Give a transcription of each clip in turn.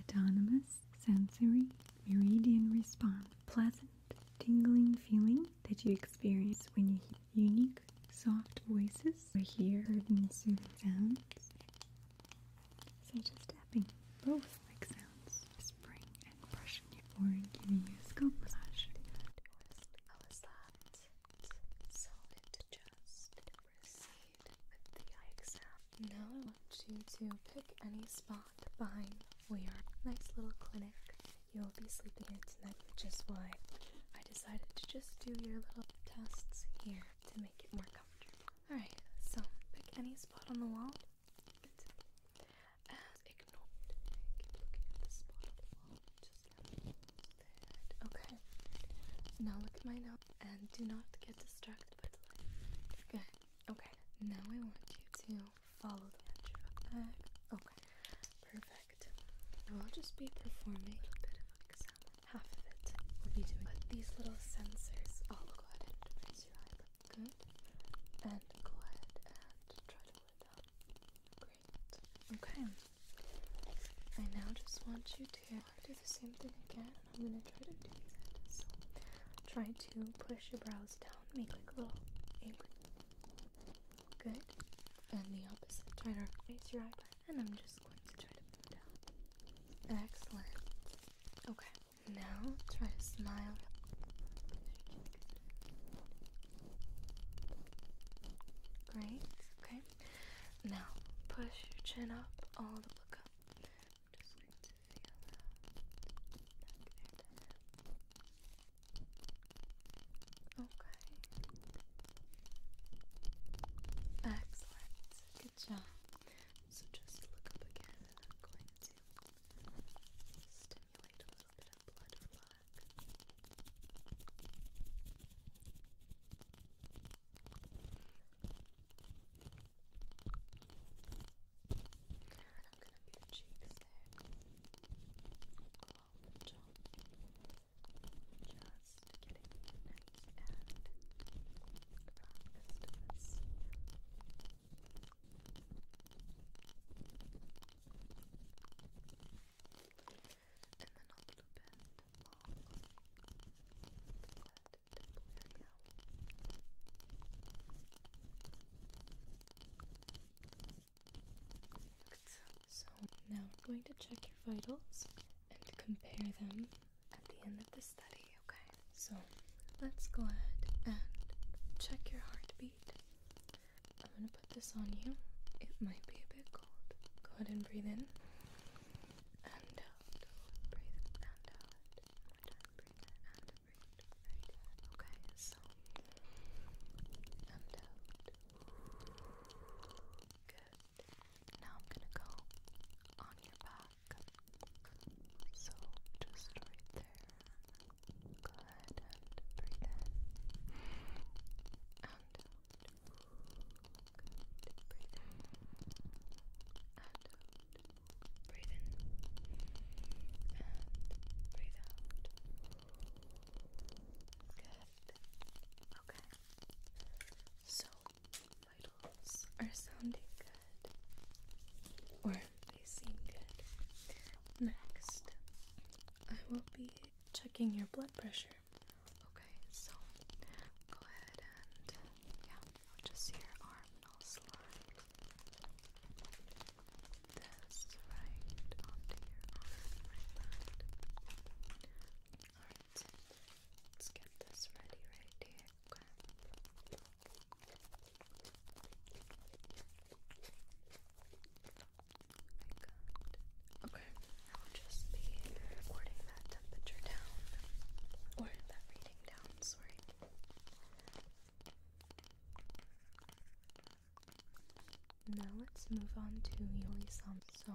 Autonomous sensory meridian response. Pleasant, tingling feeling that you experience when you hear unique, soft voices or hear soothing sounds, such as tapping. Both like sounds, whispering and brushing your or giving you scalp massage. Fall was that solid, just proceed with the eye exam. Now I want you to pick any spot behind we are. Nice little clinic. You'll be sleeping in tonight, which is why I decided to just do your little tests here to make it more comfortable. Alright, so pick any spot on the wall. ignore it. looking at the spot on the wall. Just now. Okay. Now look at my note and do not get distracted Good. Okay. Now I want you to follow the truck back. Okay. Perfect. Now I'll just be performing a little bit of an exam. Half of it will be doing but these little sensors. I'll go ahead and raise your eyelid. Good. And go ahead and try to pull it down. Great. Okay. I now just want you to I'm do the same thing again, and I'm gonna try to do these try to push your brows down, make like a little apron. Good. And the opposite. Try to raise your eyebrow, and I'm just going to try to move down. Excellent. Okay. Now try to smile. Great. Okay. Now push your chin up all the look up just going to feel that Okay. Excellent. Good job. So just look up again and I'm going to stimulate a little bit of blood flow. And I'm gonna put your cheeks there along the top. Just getting nice and relaxed to this. And then a little bit long. Good. So now we're going to check your vitals and compare them at the end of the study, okay? So let's go ahead and check your heartbeat. I'm gonna put this on you. It might be a bit cold. Go ahead and breathe in uh, out. Breathe Okay, so and Good. Now I'm gonna go on your back. So just right there. Go ahead and breathe in and Breathe in. out. Breathe in. And breathe out. Good. Okay. So, vitals are sounding good. Or they seem good. Next, I will be checking your blood pressure Okay, so go ahead and yeah, just see arm and I'll this right onto your arm right that. Alright, let's get this ready right here. Okay. Okay. I will just be recording that temperature down, or that reading down, sorry. Now let's move on to Yoli Sound. So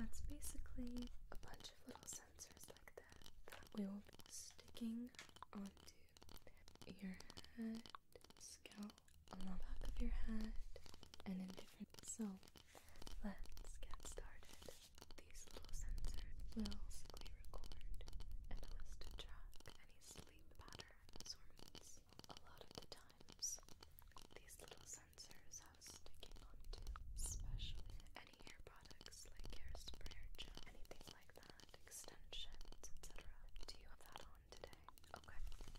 that's basically a bunch of little sensors like that that we will be sticking onto your head, scalp, on the back of your head, and in different so Let's get started. These little sensors will simply record and list track any sleep pattern assortments. A lot of the times, these little sensors have sticking onto, especially any hair products like hairspray or anything like that, extensions, etc. Do you have that on today? Okay, I can go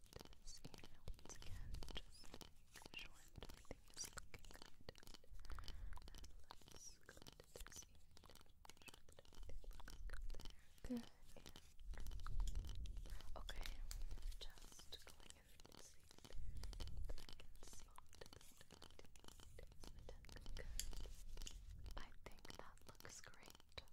to this area once again, just make sure everything is looking good. And let's go to this area to make sure that everything looks good there. Good. And okay, just going in and see if I can spot this attention. Good. I think that looks great.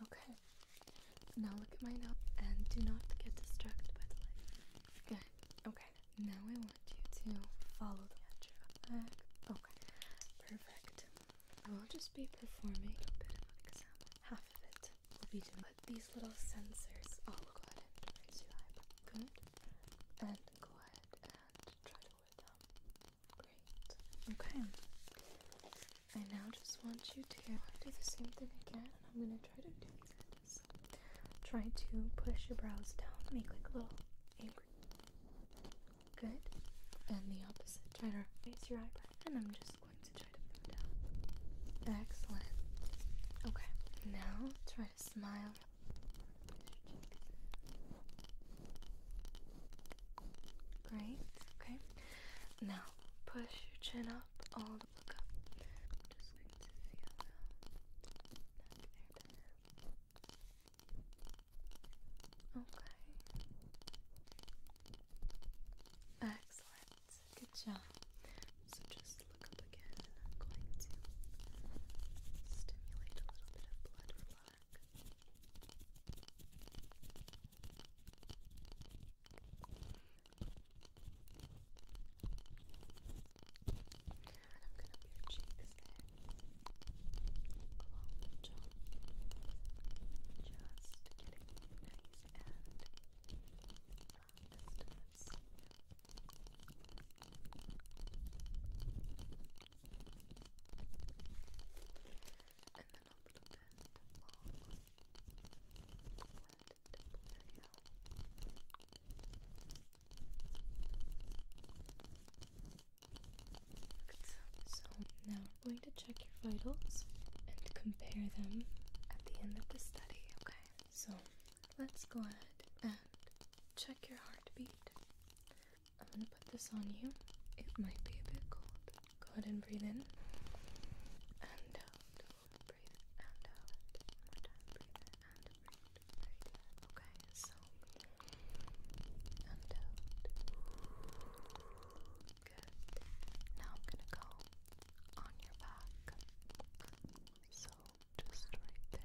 Okay. Now look at my note and do not get distracted by the light. Good. Okay. Now I want you to follow the edge Okay. Perfect. I will just be performing a bit of an exam. Half of it will be doing these little sensors, oh, go ahead and raise your eyebrow. Good. And go ahead and try to wear them. Great. Okay. I now just want you to do the same thing again. And I'm gonna try to do it. So try to push your brows down. Make like a little angry. Good. And the opposite. Try to raise your eyebrow. And I'm just Excellent. Okay, now try to smile. Great. Okay. Now push your chin up, all the look up. just going to feel now. there. Okay. Excellent. Good job. So just look up again and I'm going to stimulate a little bit of blood flow. I'm gonna put your cheeks there along the jaw. Just getting nice and long distance. And then a little bit long wet dimple video. So now I'm going to check your vitals and compare them at the end of the study, okay? So let's go ahead and check your heartbeat. I'm gonna put this on you. It might be a bit cold. Go ahead and breathe in. And out. Breathe and out. One more Breathe and breathe. Okay, so. And out. Good. Now I'm gonna go on your back. So just right there.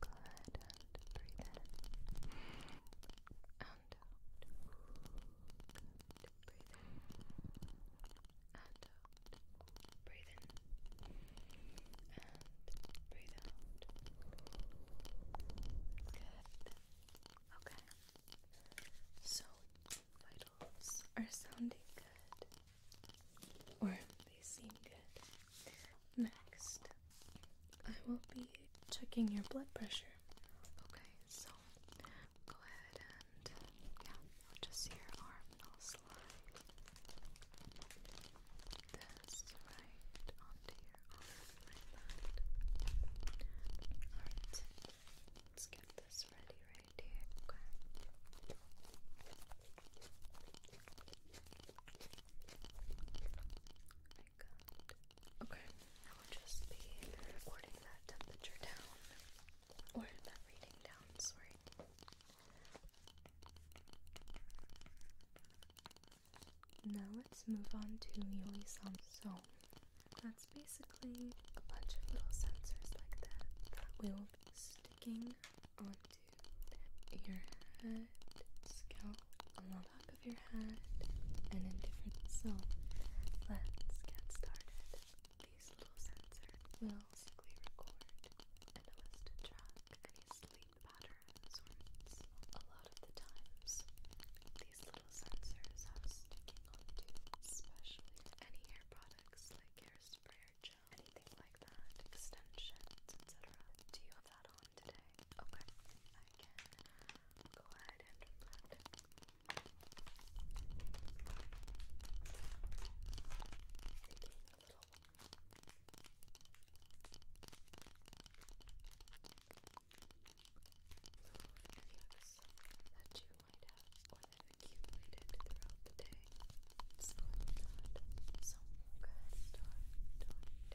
Good. And breathe in. And out. Breathe in. And out. Breathe in. And breathe out. Good. Okay. So vitals are sounding good, or they seem good. Next, I will be checking your blood pressure. Okay, so go ahead and yeah, I'll just see your arm. I'll slide this right onto your let's Okay. Okay, I will just be recording that temperature down. Or that reading down, sorry. Now let's move on to Yui-san. So, that's basically a bunch of little sensors like that that we will be sticking onto your head, scalp, on the back of your head, and in different cells. Let's get started. These little sensors will basically record and list track any sleep patterns a lot of the times these little sensors have sticking onto, especially any hair products like hairspray or gel, anything like that, extensions, etc. Do you have that on today? Okay, I can go ahead and blend it. Taking a little Feelings that you might have or that accumulated throughout the day. So that some start on downs. Let's do the job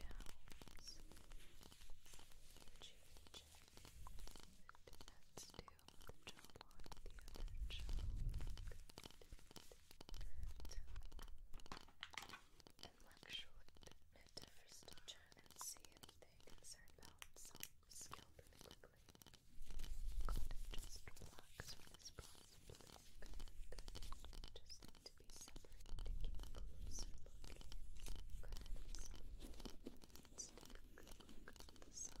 on the other job and luxuriant and anything concerned about some skill quickly. Could just relax from this process, Good. Just to be separated to get good. So good look on the side.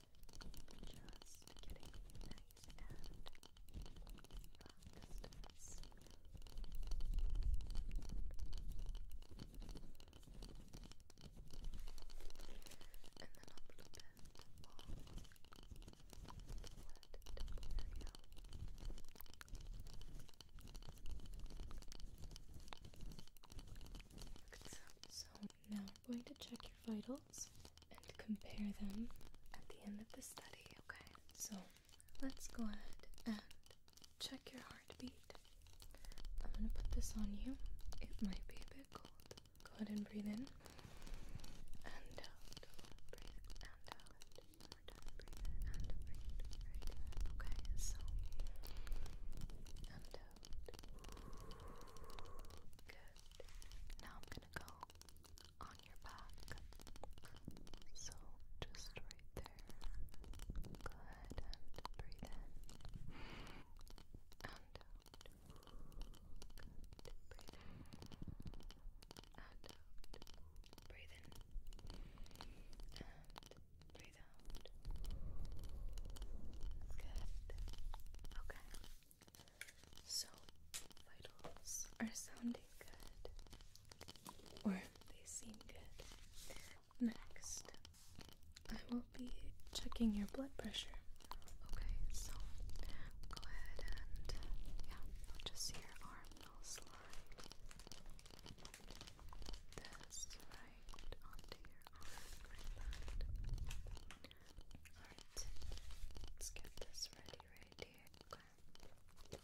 Just getting you nice and relaxed. And then a little bit of so now I'm going to check your vitals and compare them at the end of the study, okay? So let's go ahead and check your heartbeat. I'm gonna put this on you. It might be a bit cold. Go ahead and breathe in. And out. Breathe and out. One more time. Breathe and breathe. Okay, so and out. Good. Now I'm gonna go on your back. So just right there. Good. breathe in. And out. Breathe in. And out. Breathe in. And breathe out. Good. Okay. So, vitals are sounding good, or they seem good. Next, I will be checking your blood pressure. Okay, so go ahead and yeah, just your arm will slide this right onto your arm Alright, let's get this ready right Okay.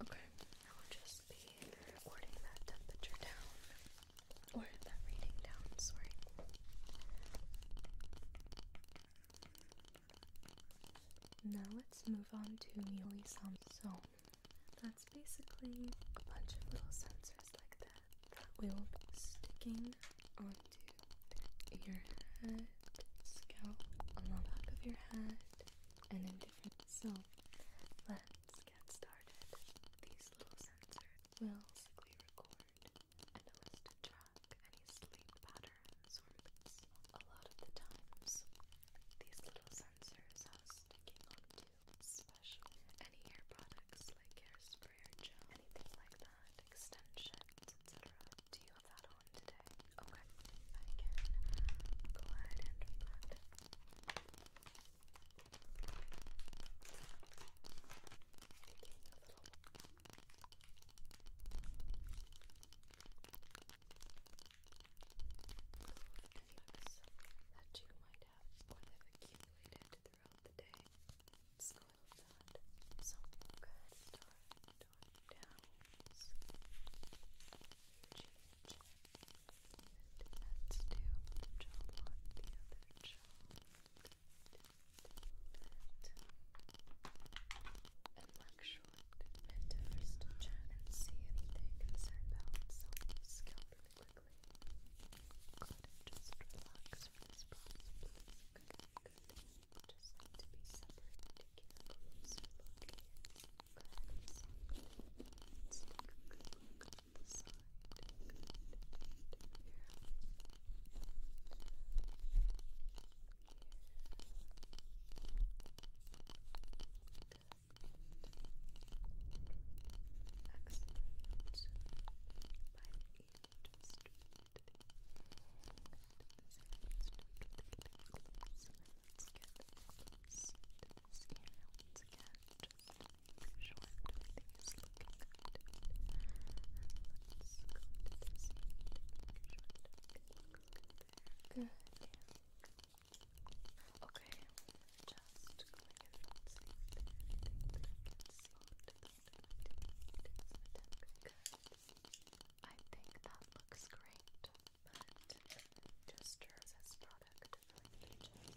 Okay, I will just be recording that temperature down. Or that reading down, sorry. Now let's move on to Muley Sum. So that's basically a bunch of little sensors like that that will be sticking onto your head, scalp, on the back of your head, and in different. So let's get started. These little sensors will basically record and list track any sleep patterns works. A lot of the times, these little sensors are sticking onto special any hair products like hairspray or gel, anything like that, extensions, etc. Do you have that on today? Okay, I go ahead and do that. Taking a little of yucks that you might have or accumulated throughout the day. Let's go with So we'll start on downs. let's do the other job. And lecture short mentors to chat and see anything concerned about self-skill quickly. Good, just relax for this process, please. Just be separate to get a closer look here. look on the side. Excellent. By the age of street. So let's get those skin once again. Just make sure everything is looking good. And let's go to this end. Make sure that looks good. Good. Okay, just going in and see there. I think that looks great, but just as this product really